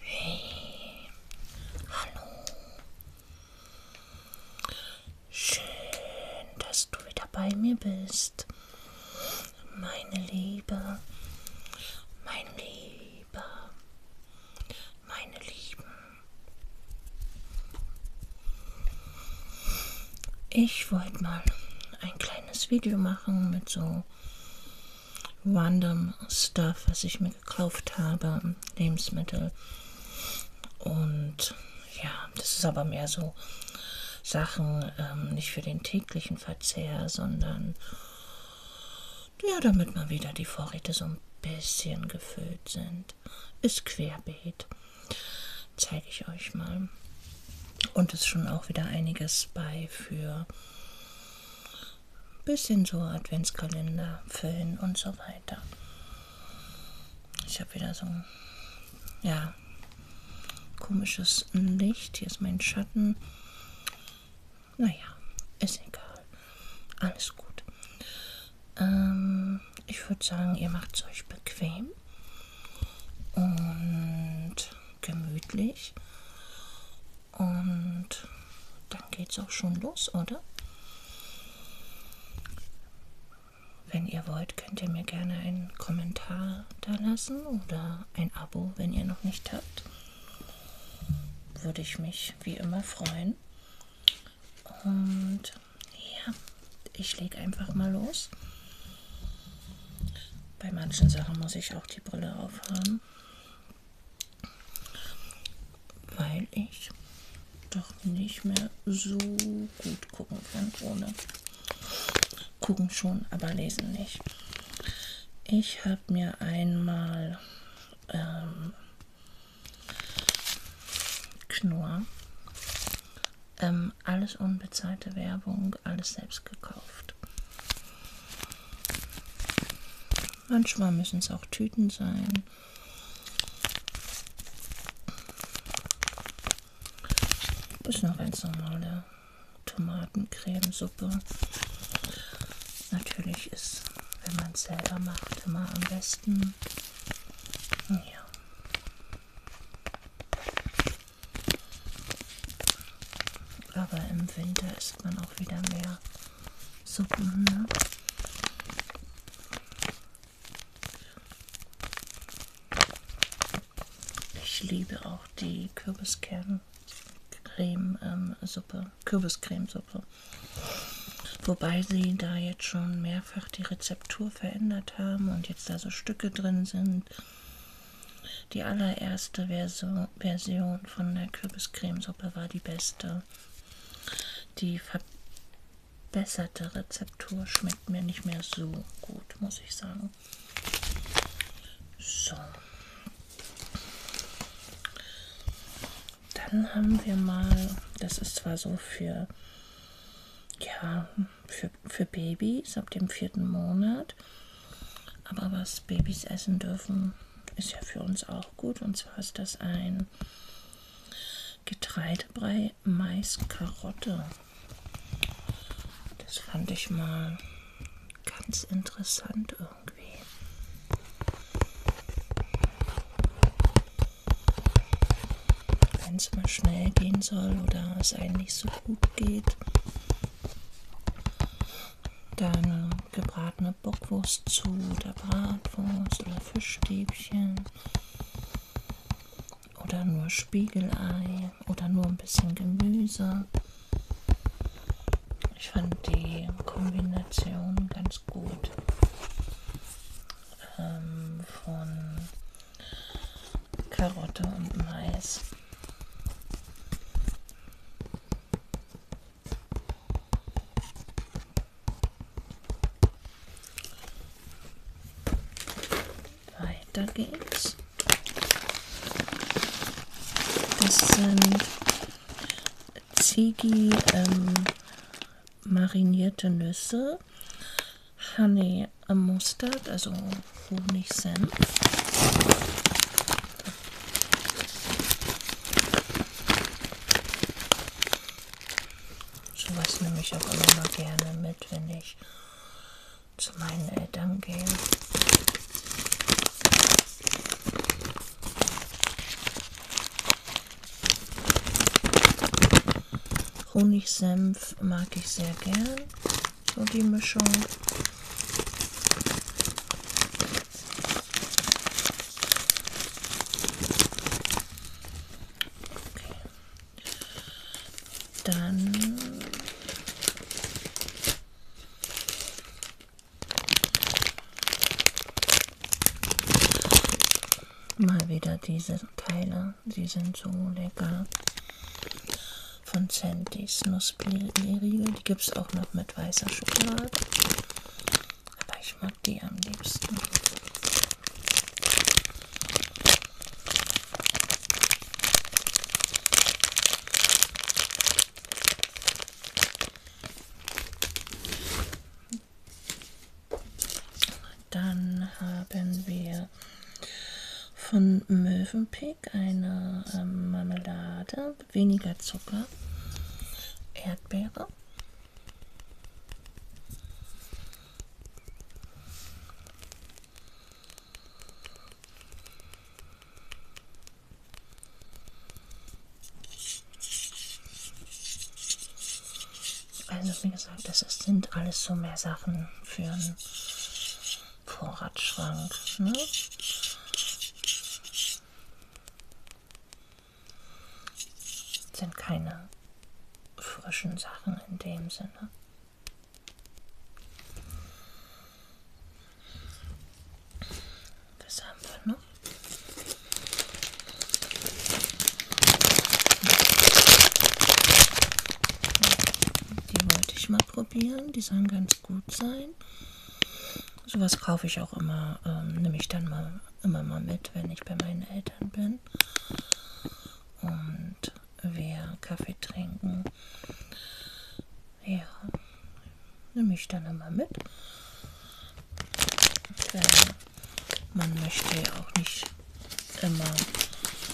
Hey, hallo. Schön, dass du wieder bei mir bist. Meine Liebe, mein Lieber, meine Lieben. Ich wollte mal ein kleines Video machen mit so random Stuff, was ich mir gekauft habe, Lebensmittel. Und ja, das ist aber mehr so Sachen, ähm, nicht für den täglichen Verzehr, sondern ja, damit mal wieder die Vorräte so ein bisschen gefüllt sind. Prozent ist querbeet. Zeige ich euch mal. Und ist schon auch wieder einiges bei für ein bisschen so Adventskalender füllen und so weiter. Ich habe wieder so ein ja, komisches Licht. Hier ist mein Schatten. Naja, ist egal. Alles gut. Ähm, ich würde sagen, ihr macht es euch bequem und gemütlich. Und dann geht's auch schon los, oder? Wenn ihr wollt, könnt ihr mir gerne einen Kommentar da lassen oder ein Abo, wenn ihr noch nicht habt. Würde ich mich wie immer freuen. Und ja, ich lege einfach mal los. Bei manchen Sachen muss ich auch die Brille aufhaben, weil ich doch nicht mehr so gut gucken kann ohne. Gucken schon, aber lesen nicht. Ich habe mir einmal ähm, Knurr. Ähm, alles unbezahlte Werbung, alles selbst gekauft. Manchmal müssen es auch Tüten sein. Das ist eine ganz normale Tomatencremesuppe. Natürlich ist, wenn man es selber macht, immer am besten. Ja. Aber im Winter isst man auch wieder mehr Suppen, ne? Ich liebe auch die Kürbiskerne. Creme, ähm, Suppe, Kürbiscremesuppe. Wobei sie da jetzt schon mehrfach die Rezeptur verändert haben und jetzt da so Stücke drin sind. Die allererste Verso Version von der Kürbiscremesuppe war die beste. Die verbesserte Rezeptur schmeckt mir nicht mehr so gut, muss ich sagen. So. Dann haben wir mal, das ist zwar so für, ja, für, für Babys ab dem vierten Monat, aber was Babys essen dürfen, ist ja für uns auch gut. Und zwar ist das ein Getreidebrei Mais-Karotte. Das fand ich mal ganz interessant irgendwie wenn es mal schnell gehen soll oder es einem nicht so gut geht. Dann gebratene Bockwurst zu oder Bratwurst oder Fischstäbchen oder nur Spiegelei oder nur ein bisschen Gemüse. Ich fand die Kombination Kombination ganz gut ähm, von Karotte und Mais. Weiter geht's. Das sind Ziggy ähm, marinierte Nüsse, Honey Mustard, also Honigsenf. Sowas nehme ich auch immer mal gerne mit, wenn ich zu meinen Eltern gehe. Honigsenf mag ich sehr gern. So die Mischung. Okay. Dann Mal wieder diese Teile, sie sind so lecker. Von Sandys Nussblätterriegel, die gibt es auch noch mit weißer Schokolade. Aber ich mag die am liebsten. Dann haben wir von Mövenpick eine ähm, Marmelade, weniger Zucker, Erdbeere. Also wie gesagt, das ist, sind alles so mehr Sachen für einen Vorratsschrank. Ne? Sind keine frischen Sachen in dem Sinne. Das haben wir noch. Ne? Die wollte ich mal probieren. Die sollen ganz gut sein. Sowas kaufe ich auch immer, ähm, nehme ich dann mal immer mal mit, wenn ich bei meinen Eltern bin. Und wir Kaffee trinken. Ja, nehme ich dann einmal mit. Denn man möchte ja auch nicht immer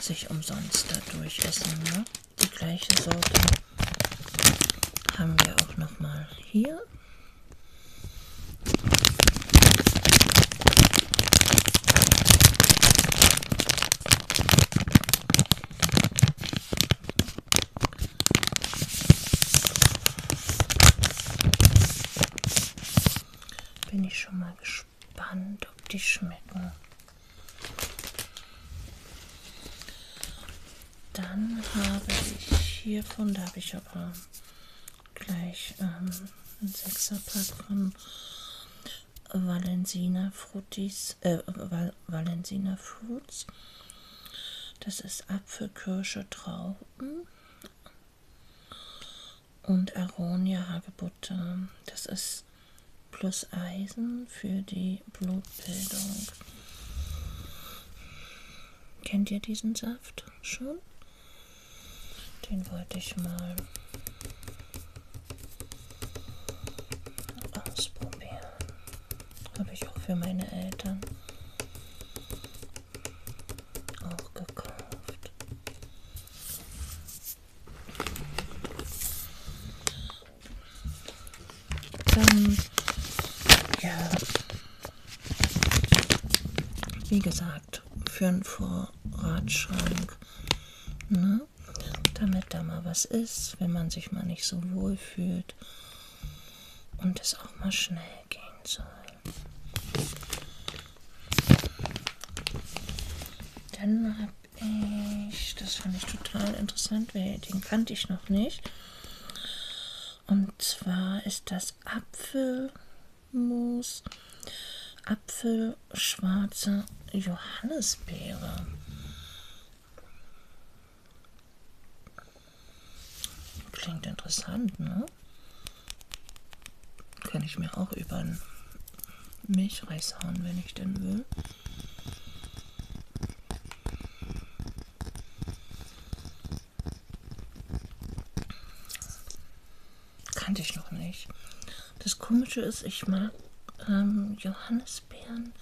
sich umsonst dadurch essen. Ne? Die gleiche Sorte haben wir auch nochmal hier. Bin ich schon mal gespannt, ob die schmecken. Dann habe ich hiervon, da habe ich aber gleich ähm, ein Sechserpack von Valensina Frutis, äh, Val Valentiner Foods. Das ist Apfel, Kirsche, Trauben und Aronia Hagebutte. Das ist plus Eisen für die Blutbildung. Kennt ihr diesen Saft schon? Den wollte ich mal ausprobieren. Habe ich auch für meine Eltern auch gekauft. Dann, ähm, ja, wie gesagt, für einen Vorratsschrank. Ne? Damit da mal was ist, wenn man sich mal nicht so wohl fühlt und es auch mal schnell gehen soll. Dann habe ich, das fand ich total interessant, weil den kannte ich noch nicht. Und zwar ist das Apfelmus, Apfelschwarze Johannisbeere. Klingt interessant, ne? Kann ich mir auch über einen Milchreis hauen, wenn ich denn will. Kannte ich noch nicht. Das Komische ist, ich mag ähm, Johannes Johannisbeeren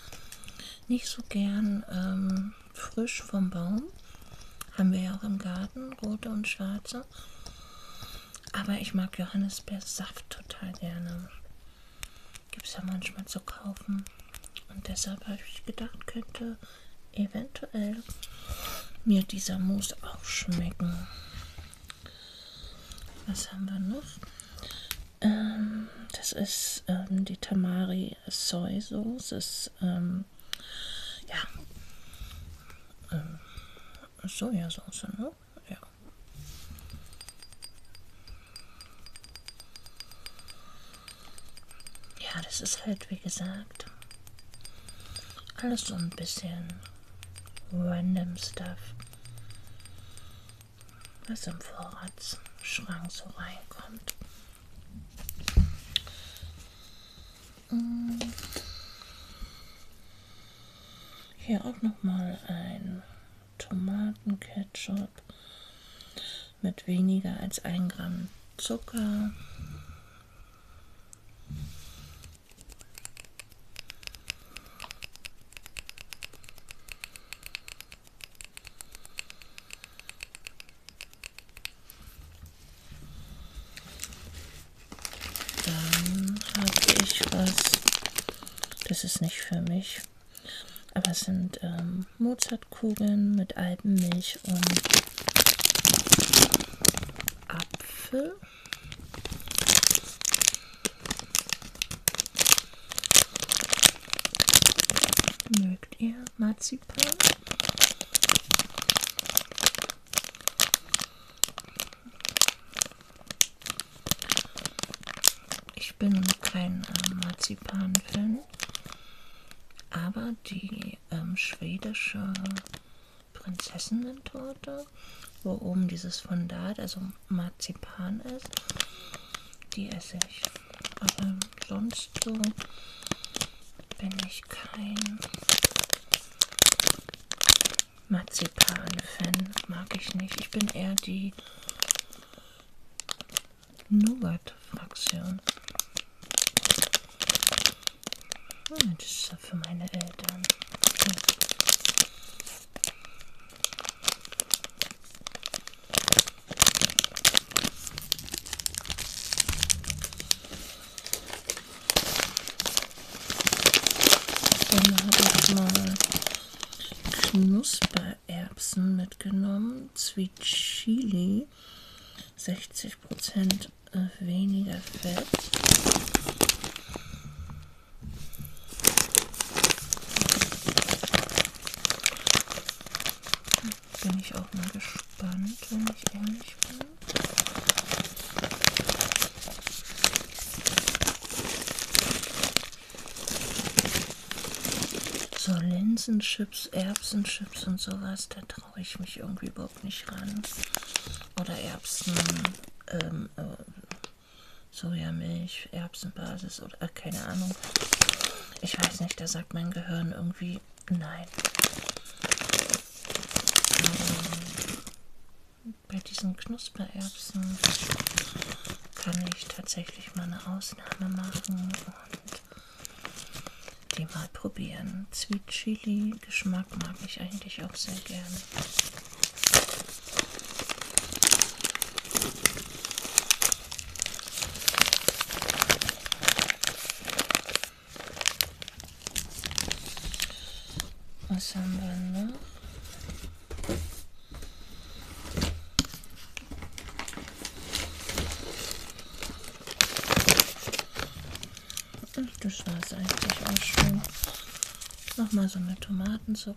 nicht so gern ähm, frisch vom Baum. Haben wir ja auch im Garten, rote und schwarze. Aber ich mag Johannisbeersaft total gerne. Gibt es ja manchmal zu kaufen. Und deshalb habe ich gedacht, könnte eventuell mir dieser Mousse auch schmecken. Was haben wir noch? Ähm, das ist ähm, die Tamari Soy Sauce. Ist, ähm, ja, ähm, Sojasauce, ne? Ja. Ja, das ist halt, wie gesagt, alles so ein bisschen random Stuff was im Vorratsschrank so reinkommt. Hm. Hier auch nochmal ein Tomatenketchup mit weniger als 1 Gramm Zucker. Dann habe ich was. Das ist nicht für mich. Aber es sind ähm, Mozartkugeln mit Alpenmilch und Apfel. Mögt ihr Marzipan? Ich bin kein äh, Marzipan-Fan, aber die ähm, schwedische Prinzessinnen-Torte, wo oben dieses Fondat, also Marzipan ist. Die esse ich. Aber sonst so bin ich kein Marzipan-Fan. Mag ich nicht. Ich bin eher die Nougat-Fraktion. Hm, das ist für meine Eltern. Dann habe ich mal Knuspererbsen mitgenommen. Sweet Chili. 60% weniger Fett. Bin ich auch mal gespannt, wenn ich ehrlich bin. So Linsenchips, Erbsenchips und sowas, da traue ich mich irgendwie überhaupt nicht ran. Oder Erbsen, ähm, äh, Sojamilch, Erbsenbasis oder äh, keine Ahnung. Ich weiß nicht, da sagt mein Gehirn irgendwie nein. Ähm, bei diesen Knuspererbsen kann ich tatsächlich mal eine Ausnahme machen und die mal probieren. Sweet Chili Geschmack mag ich eigentlich auch sehr gerne. Was haben wir noch? Ach, das war es eigentlich auch schon. Nochmal so eine Tomatensuppe.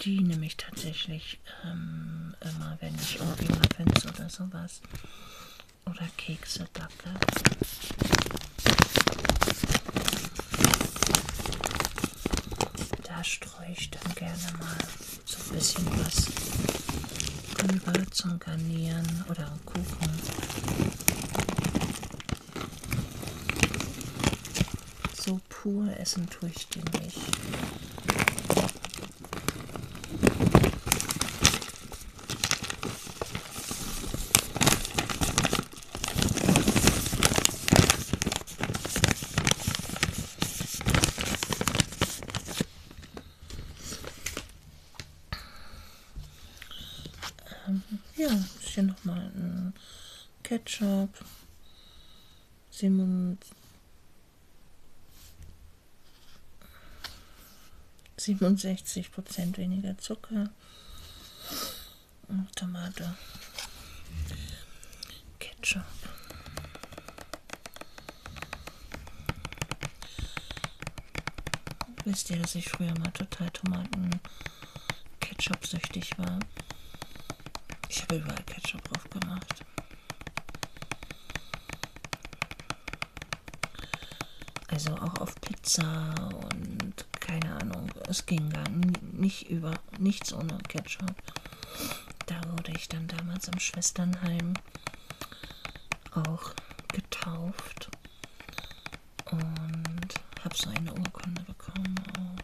Die nehme ich tatsächlich ähm, immer, wenn ich irgendwie Muffins oder sowas oder Kekse backe. Da streue ich dann gerne mal so ein bisschen was drüber zum Garnieren oder Kuchen. So pur essen tue ich die nicht. Ähm, ja, hier nochmal ein Ketchup. 67 Prozent weniger Zucker, Tomate, Ketchup. Wisst ihr, dass ich früher mal total Tomaten-Ketchup-süchtig war? Ich habe überall Ketchup drauf gemacht. Also auch auf Pizza und keine Ahnung. Es ging gar nicht über, nichts ohne Ketchup. Da wurde ich dann damals im Schwesternheim auch getauft und habe so eine Urkunde bekommen. Auch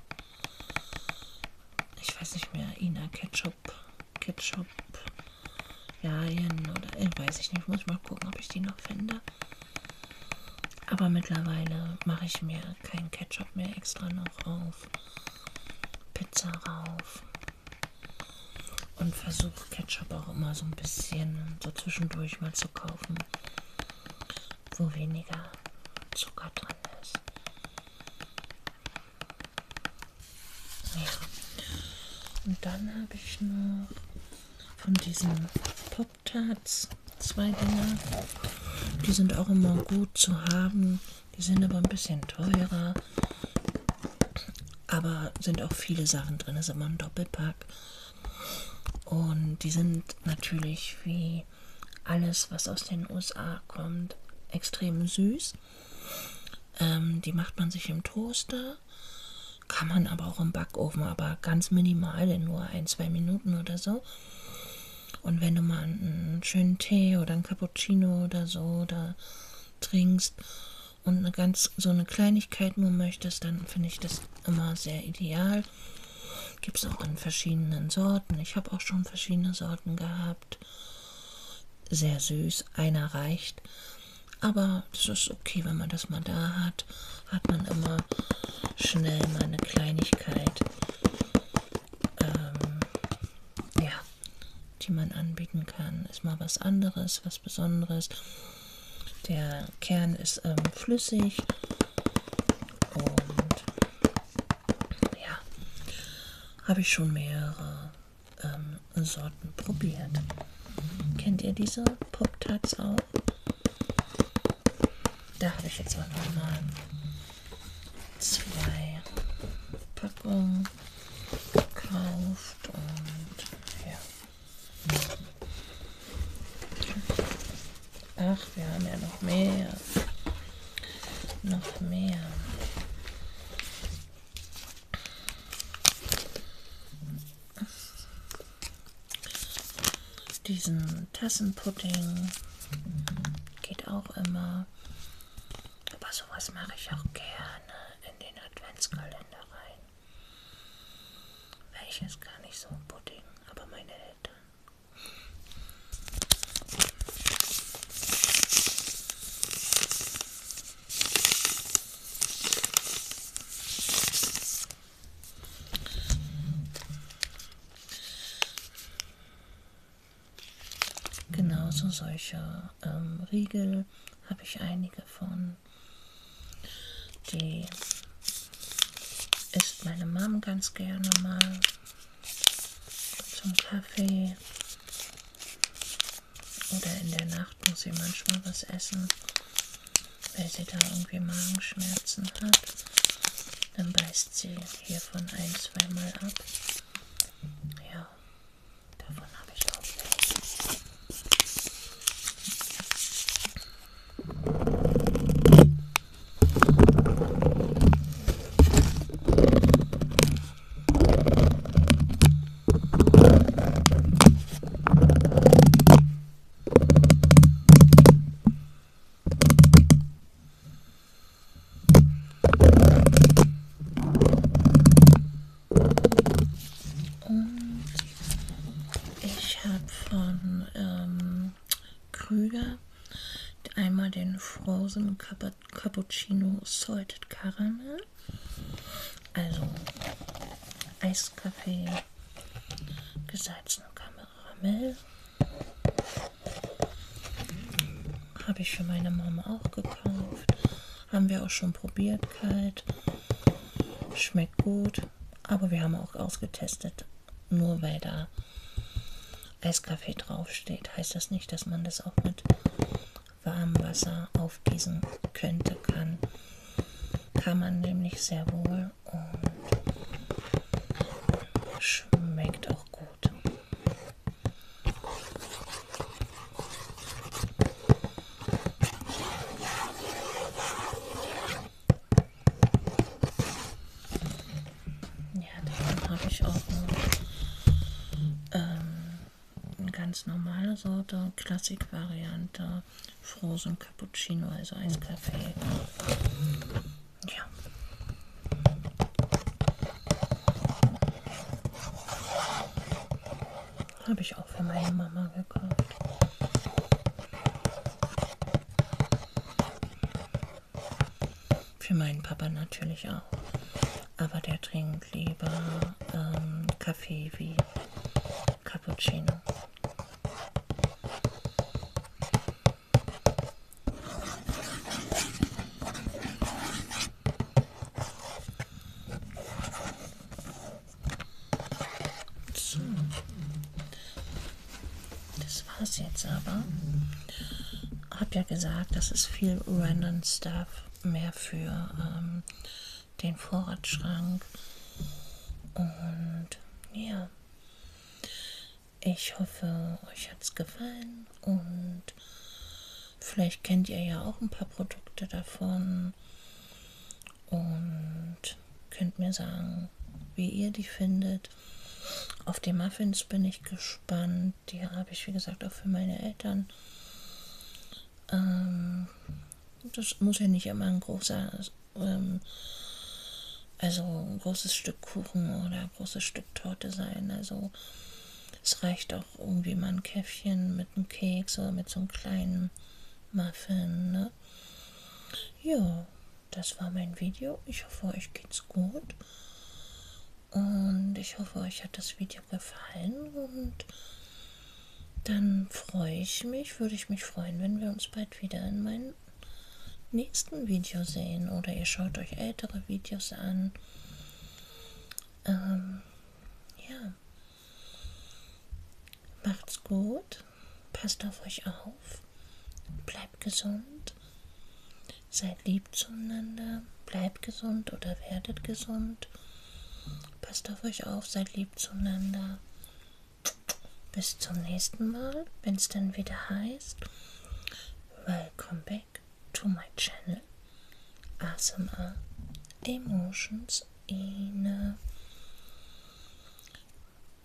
ich weiß nicht mehr, Ina Ketchup, Ketchup, Jalien oder ich äh, weiß ich nicht, muss ich mal gucken, ob ich die noch finde. Aber mittlerweile mache ich mir keinen Ketchup mehr extra noch auf Pizza rauf und versuche Ketchup auch immer so ein bisschen so zwischendurch mal zu kaufen, wo weniger Zucker drin ist. Ja. Und dann habe ich noch von diesen Pop-Tarts zwei Dinger. Die sind auch immer gut zu haben. Die sind aber ein bisschen teurer. Aber sind auch viele Sachen drin. Das ist immer ein Doppelpack. Und die sind natürlich wie bei alles, was aus den USA kommt, extrem süß. Ähm, die macht man sich im Toaster, kann man aber auch im Backofen, aber ganz minimal, in nur ein, zwei Minuten oder so. Und wenn du mal einen schönen Tee oder ein Cappuccino oder so da trinkst und eine ganz so eine Kleinigkeit nur möchtest, dann finde ich das immer sehr ideal. Fall. Gibt es auch in verschiedenen Sorten. Ich habe auch schon verschiedene Sorten gehabt. Sehr süß, einer reicht. Aber das ist okay, wenn man das mal da hat, hat man immer schnell mal eine Kleinigkeit, ähm, ja, die man anbieten kann. Ist mal was anderes, was Besonderes. Der Kern ist ähm, flüssig und ja, habe ich schon mehrere ähm, Sorten probiert. Kennt ihr diese Pop-Tarts auch? Da habe ich jetzt aber nochmal zwei Packungen gekauft und ja. Ach, wir haben ja noch mehr. Noch mehr. Diesen Tassenpudding geht auch immer. Aber sowas mache ich auch gerne in den Adventskalender rein. Welches gar nicht so ein Pudding, aber meine Eltern Genauso solche ähm, Riegel habe ich einige von, die isst meine Mom ganz gerne mal zum Kaffee. Oder in der Nacht muss sie manchmal was essen, weil sie da irgendwie Magenschmerzen hat. Dann beißt sie hiervon ein, zweimal ab. Ja, davon habe ich auch welche. Und ich habe von ähm, Krüger. Einmal den Frozen Cappuccino Salted Caramel. Also Eiskaffee, gesalzene Karamell. Habe ich für meine Mama auch gekauft. Haben wir auch schon probiert, kalt. Schmeckt gut. Aber wir haben auch ausgetestet, nur weil da Eiskaffee draufsteht, heißt das nicht, dass man das auch mit warmem Wasser aufgießen könnte, kann. Kann man nämlich sehr wohl und schmeckt auch gut. Ja, davon habe ich auch eine, ähm, eine ganz normale Sorte, Klassikvariante, Frozen Cappuccino, also Eiskaffee. Ja. Habe ich auch für meine Mama gekauft. Für meinen Papa natürlich auch. Aber der trinkt lieber ähm, Kaffee wie Cappuccino. So. Das war's jetzt aber. Hab ja gesagt, das ist viel random Stuff. Mehr für ähm, den Vorratsschrank. Und ja. Ich hoffe, euch hat's gefallen und vielleicht kennt ihr ja auch ein paar Produkte davon und könnt mir sagen, wie ihr die findet. Auf die Muffins bin ich gespannt. Die habe ich, wie gesagt, auch für meine Eltern. Ähm, das muss ja nicht immer ein großer, ähm, also ein großes Stück Kuchen oder ein großes Stück Torte sein. Also es reicht auch irgendwie mal ein Käffchen mit einem Keks oder mit so einem kleinen Muffin. Ne? ne? Ja, das war mein Video. Ich hoffe, euch geht's gut. Und ich hoffe, euch hat das Video gefallen. Und dann freue ich mich, würde ich mich freuen, wenn wir uns bald wieder in meinem nächsten Video sehen. Oder ihr schaut euch ältere Videos an. Ähm, ja. Macht's gut, passt auf euch auf, bleibt gesund, seid lieb zueinander, bleibt gesund oder werdet gesund. Passt auf euch auf, seid lieb zueinander. Bis zum nächsten Mal, wenn es dann wieder heißt. Welcome back to my channel. ASMR Emotions uns in äh,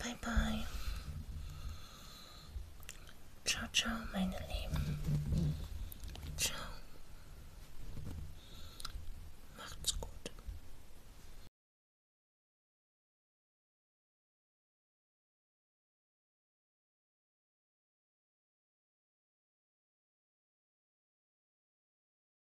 Bye bye. Ciao, ciao, meine Lieben. Ciao. Macht's gut.